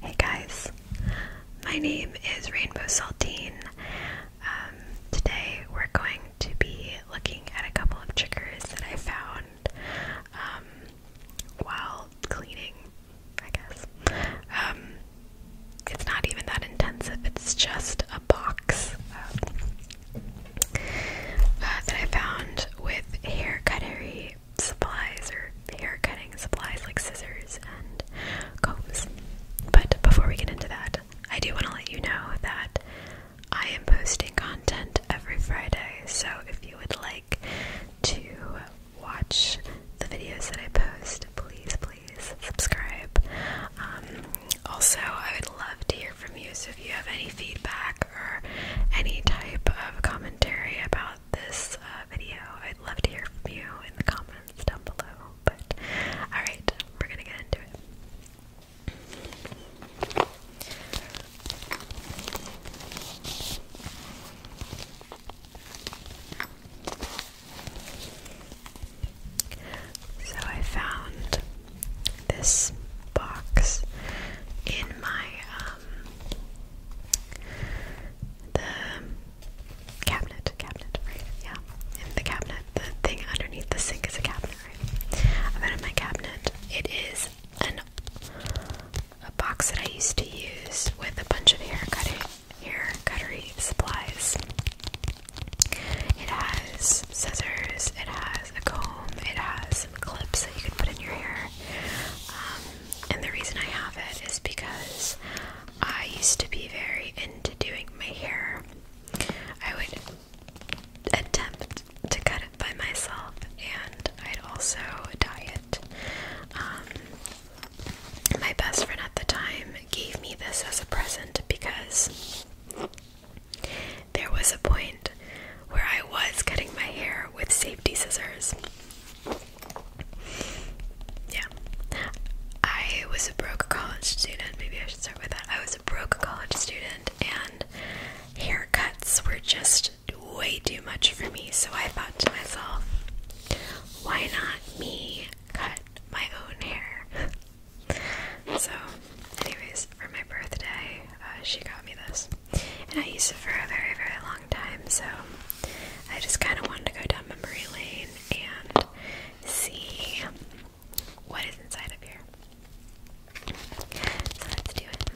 Hey guys, my name is Rainbow Saltine. Um, today we're going to be looking at a couple of triggers that I found um, while cleaning, I guess. Um, it's not even that intensive, it's just a box uh, that I found with hair cuttery supplies or hair cutting supplies like scissors and combs. But before we get into that, I do want to let you know that I am posting content every Friday, so if you would like to watch the videos that I post, please, please subscribe. Um, also, I would love to hear from you, so if you have any feedback or any type of commentary about this uh, video. I'd love to hear from you in the comments down below. But alright, we're gonna get into it. So I found this box in my um, the cabinet, cabinet, right? Yeah, in the cabinet, the thing underneath the sink is a cabinet, right? in my cabinet. It is a box that I used to use with a bunch of hair cutting, hair cuttery supplies. It has scissors, it has a comb, it has some clips that you can put in your hair. Um, and the reason I have it is because I used to be very into doing my hair. I would attempt to cut it by myself, and I'd also dye it. Um, my best friend at the time gave me this as a present because there was a point where I was cutting my hair with safety scissors. Yeah. I was a broke college student. Maybe I should start with that. I was a broke college student, and haircuts were just way too much for me. So I thought to myself, why not me cut my own hair? so, anyways, for my birthday, uh, she got me this and I used it for a very, very long time. So I just kind of wanted to go down memory lane and see what is inside of here. So let's do it.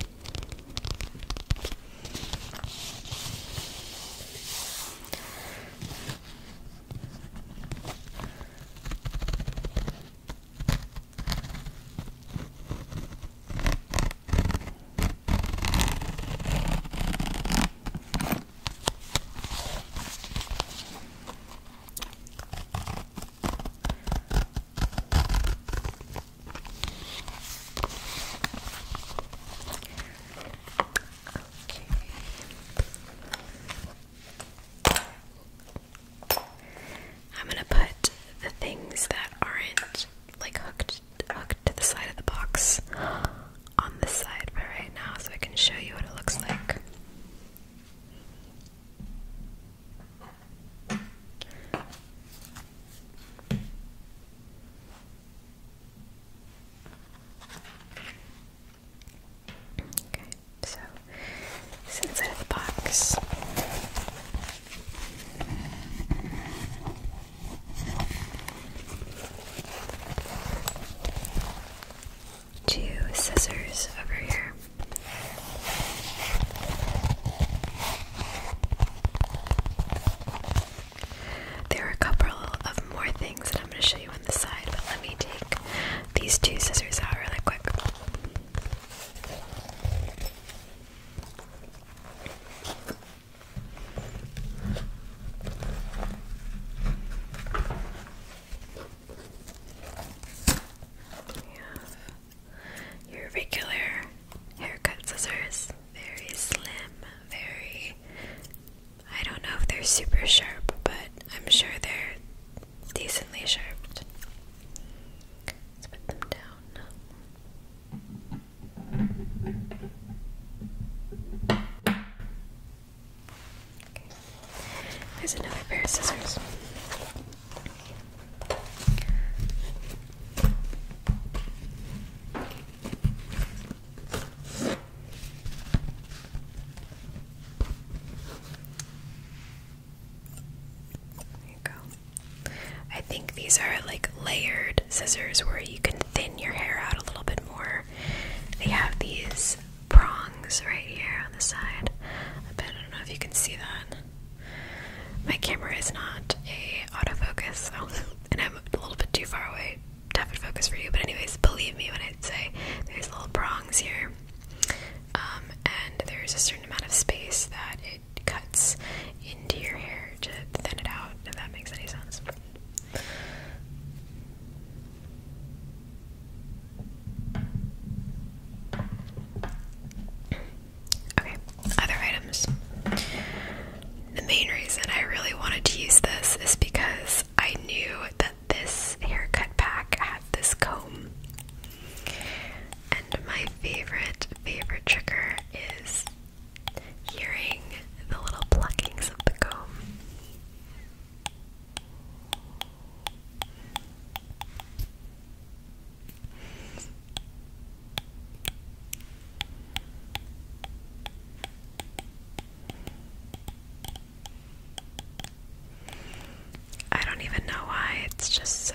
I'm going to put the things that aren't like hooked tucked to the side of the box on this side for right now so I can show you what it looks like. Okay, so inside the box. Two scissors over here. There are a couple of more things that I'm going to show you on the side, but let me take these two scissors out really quick your regular haircut scissors, very slim, very. I don't know if they're super sharp, but I'm sure they're decently sharp. put them down. Okay. There's another pair of scissors. There you go. I think these are like layered scissors where you can thin your hair out a little bit more. They have these prongs right here on the side. I I don't know if you can see that. My camera is not a autofocus, and I'm a little bit too far away to have it focus for you. But anyways, believe me when I say there's little prongs here, um, and there's a certain amount of space that it cuts into your hair to thin it out, if that makes any sense. Okay, other items. The main reason I really wanted to use this is because I knew that this haircut pack had this comb. And my favorite, favorite trigger is hearing the little pluckings of the comb. I don't even know why, it's just so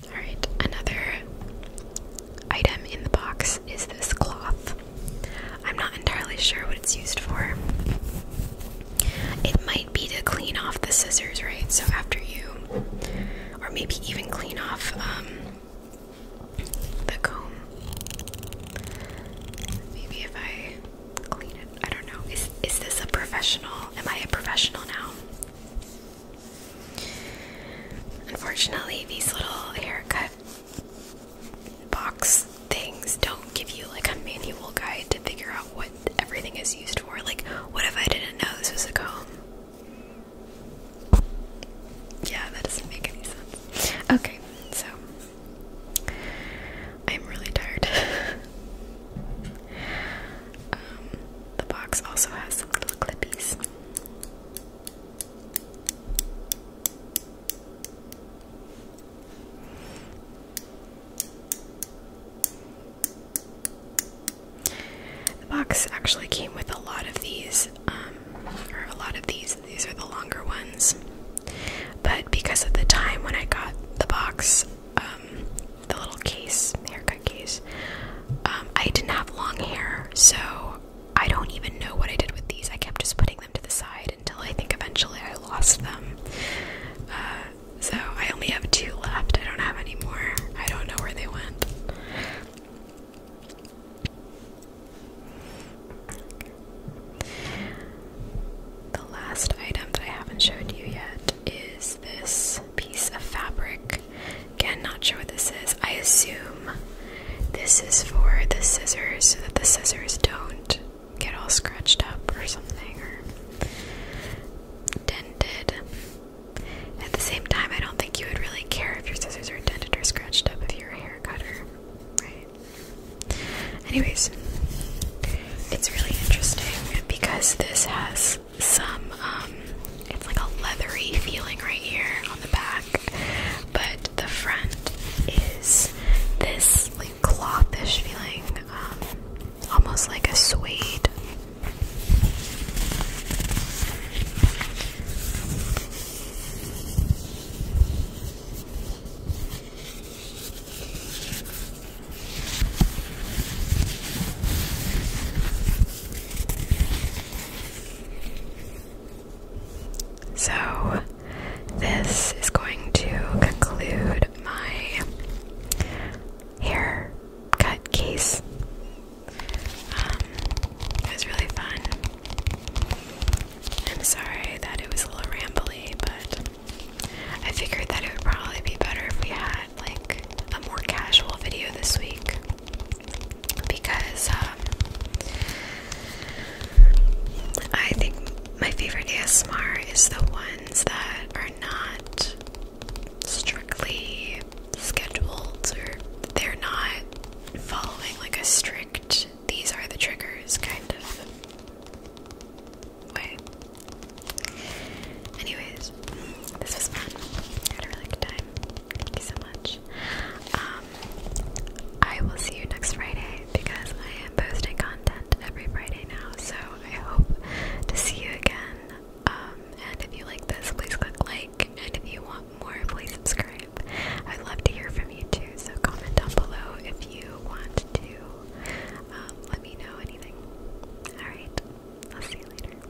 Alright, another item in the box is this cloth. I'm not entirely sure what it's used for. It might be to clean off the scissors, right? So after you, or maybe even clean off um, the comb. Maybe if I clean it, I don't know. Is is this a professional? Am I a professional now? Unfortunately, these little haircut box things don't give you like a manual guide to figure out what everything is used for. Like, what if I didn't know this was a comb? Yeah, that doesn't make any sense. Okay, so I'm really tired. Um, the box also has some little clippies. The box actually came with a lot of these, um, a lot of these. These are the longer ones, but because of the time when I got the box, um, the little case, haircut case, um, I didn't have long hair, so I don't even know what I did with these. I kept just putting them to the side until I think eventually I lost them. Uh, so I only have two left. I don't have any more. I don't know where they went. The last item that I haven't showed you yet is this piece of fabric. Again, not sure what this is. I assume this is for the scissors so that the scissors don't get all scratched up or something or dented. At the same time, I don't think you would really care if your scissors are dented or scratched up if you're a hair cutter, right? Anyways, it's really interesting because this has some, um, it's like a leathery feeling right here on the back, but the front is this like clothish feeling, um, almost like a suede. So, this is going to conclude my hair cut case. Um, it was really fun. I'm sorry that it was a little rambly, but I figured that it would probably be better if we had like a more casual video this week because um, I think my favorite ASMR is the ones that are not strictly scheduled or they're not following like a strict these are the triggers kind of way. Anyways, this was fun. had a really good time. Thank you so much. Um, I will see you next Friday because I am posting content every Friday now. So I hope to see you again. Um, and if you like this, please click like. And if you want more, please subscribe. I'd love to hear from you too. So comment down below if you want to um, let me know anything. Alright, I'll see you later.